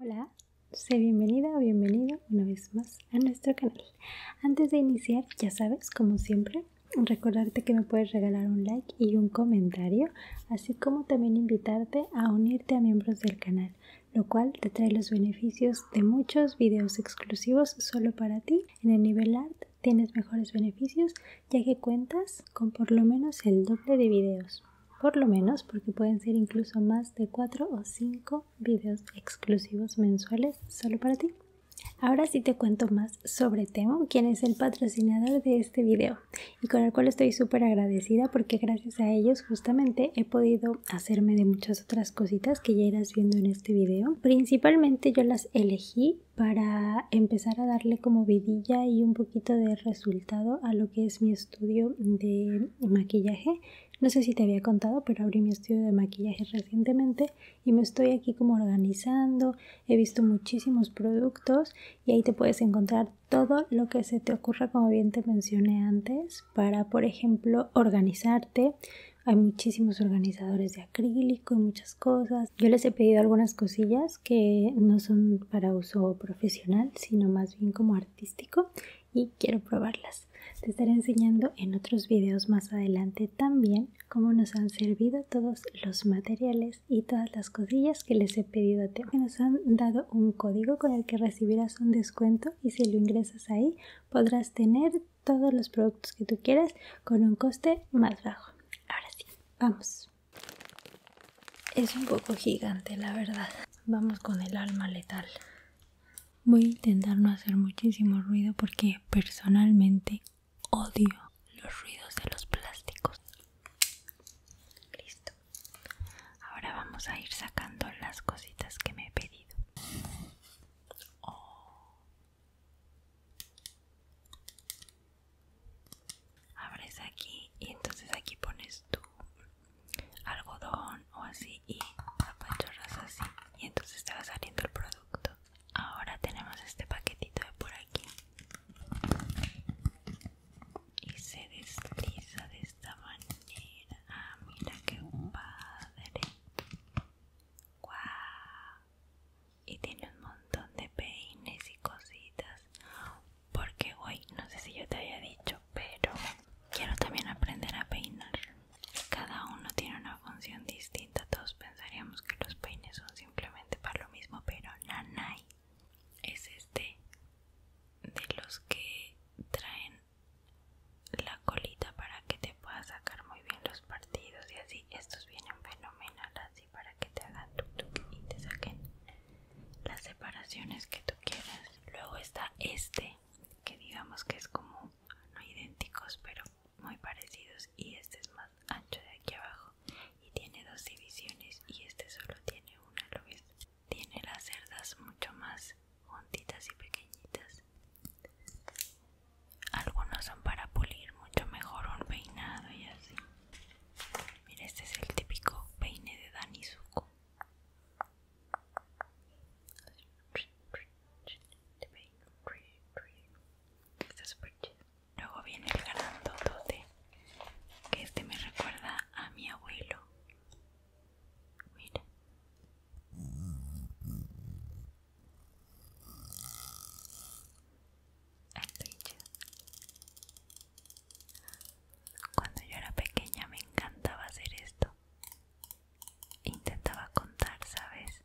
Hola, sé bienvenida o bienvenido una vez más a nuestro canal. Antes de iniciar, ya sabes, como siempre, recordarte que me puedes regalar un like y un comentario, así como también invitarte a unirte a miembros del canal, lo cual te trae los beneficios de muchos videos exclusivos solo para ti en el nivel art tienes mejores beneficios ya que cuentas con por lo menos el doble de videos. Por lo menos porque pueden ser incluso más de cuatro o cinco videos exclusivos mensuales solo para ti. Ahora sí te cuento más sobre Temo, quien es el patrocinador de este video y con el cual estoy súper agradecida porque gracias a ellos justamente he podido hacerme de muchas otras cositas que ya irás viendo en este video. Principalmente yo las elegí para empezar a darle como vidilla y un poquito de resultado a lo que es mi estudio de maquillaje. No sé si te había contado, pero abrí mi estudio de maquillaje recientemente y me estoy aquí como organizando. He visto muchísimos productos y ahí te puedes encontrar todo lo que se te ocurra, como bien te mencioné antes, para, por ejemplo, organizarte, hay muchísimos organizadores de acrílico y muchas cosas, yo les he pedido algunas cosillas que no son para uso profesional, sino más bien como artístico y quiero probarlas. Te estaré enseñando en otros videos más adelante también cómo nos han servido todos los materiales y todas las cosillas que les he pedido a ti. Nos han dado un código con el que recibirás un descuento y si lo ingresas ahí podrás tener todos los productos que tú quieras con un coste más bajo. Ahora sí, vamos. Es un poco gigante, la verdad. Vamos con el alma letal. Voy a intentar no hacer muchísimo ruido porque personalmente odio los ruidos de los plásticos. Listo. Ahora vamos a ir sacando las cositas que me he pedido abres aquí y entonces aquí pones tu algodón o así y apachorras así y entonces te va saliendo el producto ahora tenemos este paquetito de por aquí y se desliza de esta manera ah mira qué padre ¡Guau! y tiene un montón de peines y cositas porque hoy no sé si yo te había dicho pero quiero también aprender a peinar cada uno tiene una función distinta todos pensaríamos que los peines son simplemente para lo mismo pero nanay es este de los que traen la colita para que te puedas sacar muy bien los partidos y así estos vienen fenomenal así para que te hagan tu tu y te saquen las separaciones que tú quieras. Luego está este, que digamos que es como no idénticos, pero muy parecidos. Y este es más ancho de aquí abajo y tiene dos divisiones. Y este solo tiene una, lo ves. Tiene las cerdas mucho más juntitas y pequeñitas. Algunos son para pulir mucho mejor un peinado y así. Mira, este es el típico peine de Dani Luego viene el dote que este me recuerda a mi abuelo. Mira. Ah, cuando yo era pequeña me encantaba hacer esto. Intentaba contar, ¿sabes?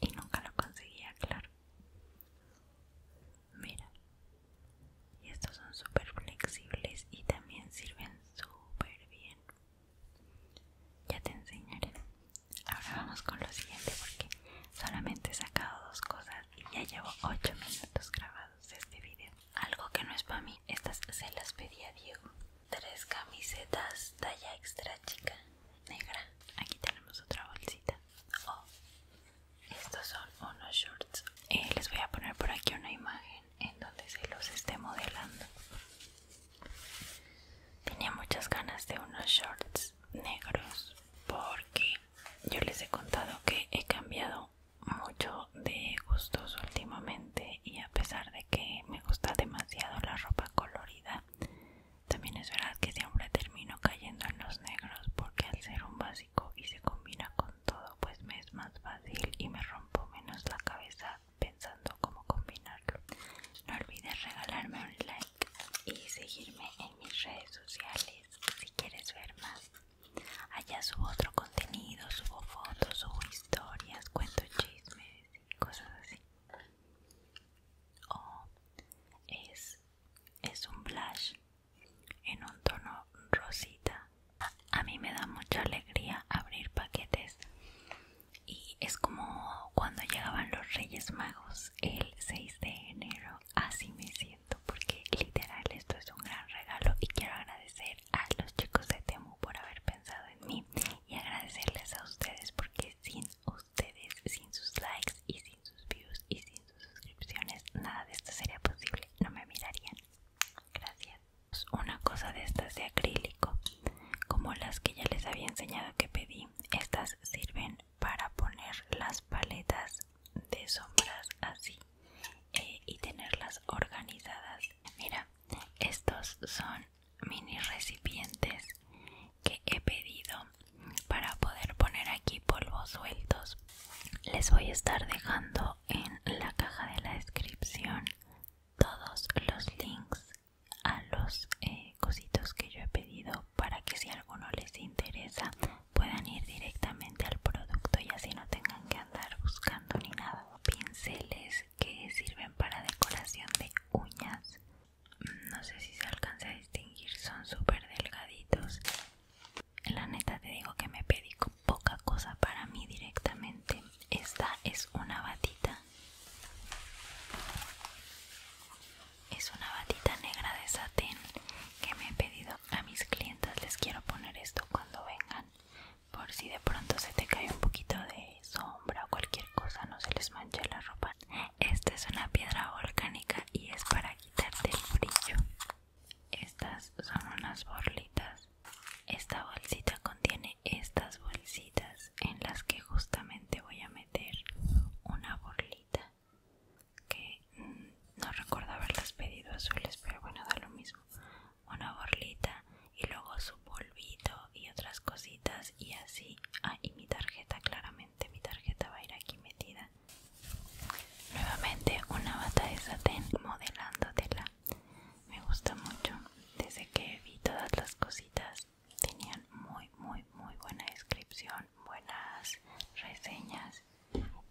Y nunca lo conseguía, claro. Mira. Y estos son súper flexibles y también sirven súper bien. Ya te enseñaré. Ahora vamos con lo siguiente porque solamente he sacado dos cosas ya llevo 8 minutos grabados este video. Algo que no es para mí, estas se las pedía a Diego. Tres camisetas talla extra chica, negra. Aquí tenemos otra bolsita. Oh, estos son unos shorts. Eh, les voy a poner por aquí una imagen en donde se los esté modelando. Tenía muchas ganas de unos shorts negros porque yo les he contado que he cambiado mucho de gustos últimamente y a pesar de que me gusta demasiado la ropa colorida, también es verdad que siempre termino cayendo en los negros porque al ser un básico y se combina con todo pues me es más fácil y me rompo menos la cabeza pensando cómo combinarlo. No olvides regalarme un like y seguirme en mis redes sociales si quieres ver más. Allá subo otro contenido, subo fotos, subo historias, cuento chismes y cosas así. O es, es un blush en un tono rosita. A mí me da mucha alegría abrir paquetes y es como cuando llegaban los Reyes Magos el 6 de enero Así me siento porque literal esto es un gran regalo y quiero agradecer a los chicos de Temu por haber pensado en mí y agradecerles a ustedes porque sin ustedes, sin sus likes y sin sus views y sin sus suscripciones, nada de esto sería posible. No me mirarían. Gracias. Pues, una cosa de estas de acrílico, como las que ya les había enseñado que pedí. Estas sirven para poner las paletas de sombras así eh, y tenerlas organizadas mira estos son mini recipientes que he pedido para poder poner aquí polvos sueltos les voy a estar dejando en la caja de la descripción todos los links a los eh, cositos que yo he pedido para que si alguno les interesa puedan ir directamente al producto y así no tengan que andar buscando ni nada. Pinceles que sirven para decoración de uñas. Mm, no sé si se alcanza a distinguir, son súper delgaditos. La neta te digo que me pedí poca cosa para mí directamente. Esta es una batita es una batita negra de satén que me he pedido a mis clientas les quiero poner esto cuando vengan por si de pronto se te cae un poquito de sombra o cualquier cosa no se les manche la ropa esta es una piedra volcánica y es para quitarte el brillo estas son unas borlitas esta bolsita contiene estas bolsitas en las que justamente voy a meter una borlita que mm, no recuerdo haberlas pedido azules, pero bueno, da lo mismo. Una borlita y luego su polvito y otras cositas y así. Ah, y mi tarjeta, claramente, mi tarjeta va a ir aquí metida. Nuevamente una bata de satén modelándotela. Me gusta mucho. Desde que vi todas las cositas tenían muy, muy, muy buena descripción buenas reseñas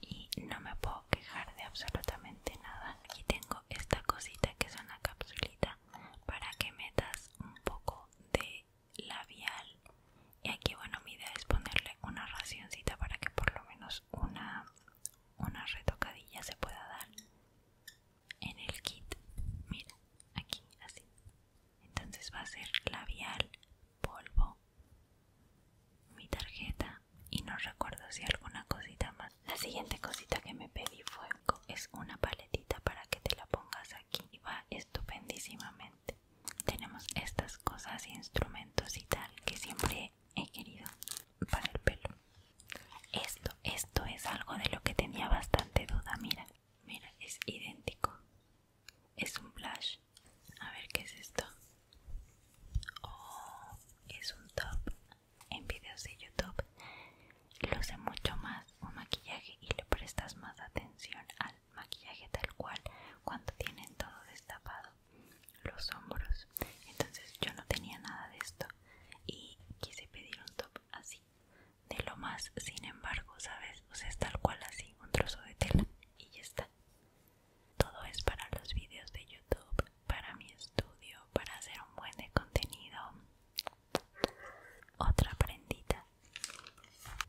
y no me puedo quejar de absolutamente nada. Aquí tengo esta cosita que es una capsulita para que metas un poco de labial y aquí bueno mi idea es ponerle una racioncita para que por lo menos una, una retocadilla se pueda dar en el kit mira aquí así entonces va a ser labial polvo mi tarjeta y no recuerdo si alguna cosita más. La siguiente cosita que me pedí fue es una paletita para que te la pongas aquí y va estupendísimamente. Tenemos estas cosas y instrumentos y tal que siempre he querido para el pelo. Esto, esto es algo de lo que tenía bastante duda, mira, mira, es idéntico. Es un blush. A ver qué es esto. o oh, es un top. En videos de YouTube lo sé mucho más un maquillaje y le prestas más atención al maquillaje tal cual cuando tienen todo destapado los hombros. Entonces yo no tenía nada de esto y quise pedir un top así de lo más sin embargo sabes o sea tal cual así un trozo de tela y ya está todo es para los vídeos de YouTube, para mi estudio, para hacer un buen contenido. Otra prendita.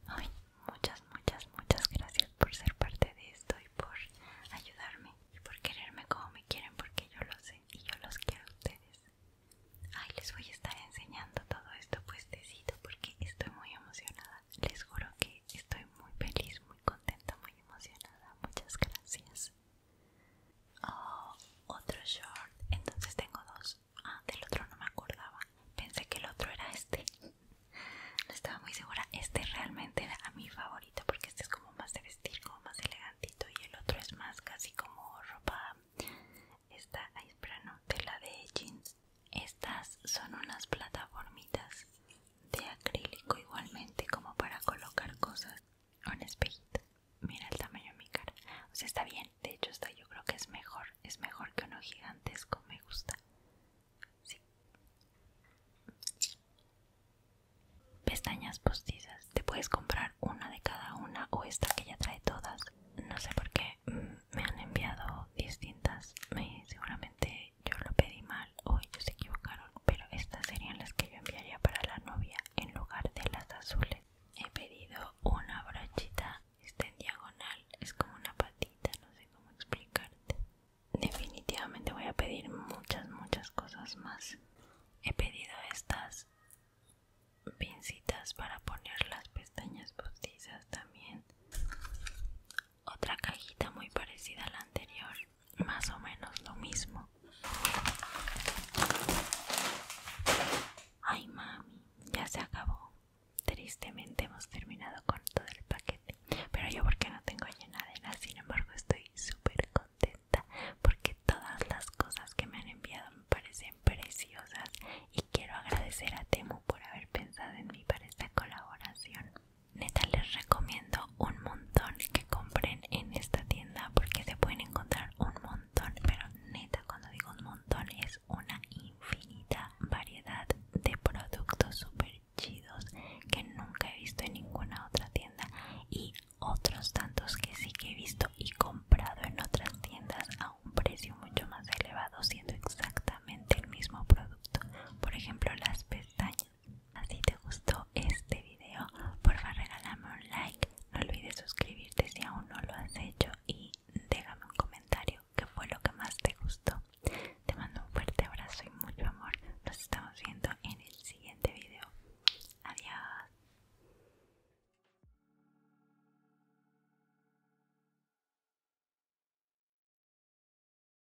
Ay, muchas, muchas, muchas gracias por ser parte de esto y por ayudarme y por quererme como me quieren porque yo lo sé y yo los quiero a ustedes. Ay, les voy a estar enseñando todo esto pues puestecito porque estoy muy emocionada les juro que estoy muy feliz, muy contenta, muy emocionada. Muchas gracias. Oh, otro short. Entonces tengo dos. Ah, del otro no me acordaba. Pensé que el otro era este. No estaba muy segura. Este realmente era mi favorito porque este es como más de vestir, como más elegantito. Y el otro es más casi como ropa. Esta, ay, espera, no, tela de jeans. Estas son unas plataformitas de acrílico igualmente como para colocar cosas un espejito mira el tamaño de mi cara o sea está bien de hecho está yo creo que es mejor es mejor que uno gigantesco me gusta sí. pestañas postizas te puedes comprar una de cada una o esta que ya trae todas no sé por qué mm, me han enviado distintas seguramente yo lo pedí mal o ellos se equivocaron, pero estas serían las que yo enviaría para la novia en lugar de las azules. He pedido una brochita, está en diagonal, es como una patita, no sé cómo explicarte. Definitivamente voy a pedir muchas, muchas cosas más. He pedido estas pincitas para poner las pestañas postizas también otra cajita muy parecida a la anterior más o menos lo mismo ay mami ya se acabó tristemente hemos terminado con todo el paquete pero yo porque no tengo llenadera sin embargo estoy súper contenta porque todas las cosas que me han enviado me parecen preciosas y quiero agradecer a Temu por haber pensado en mí para esta colaboración neta les recomiendo un montón que compren en esta tienda porque se pueden encontrar un montón pero neta cuando digo un montón es una infinita variedad de productos super chidos que nunca he visto en ninguna otra tienda y otros tantos que sí que he visto y comprado en otras tiendas a un precio mucho más elevado siendo exactamente el mismo producto por ejemplo las pestañas si te gustó este video, favor regálame un like, no olvides suscribirte si aún no lo has hecho y déjame un comentario ¿Qué fue lo que más te gustó. Te mando un fuerte abrazo y mucho amor. Nos estamos viendo en el siguiente video. Adiós.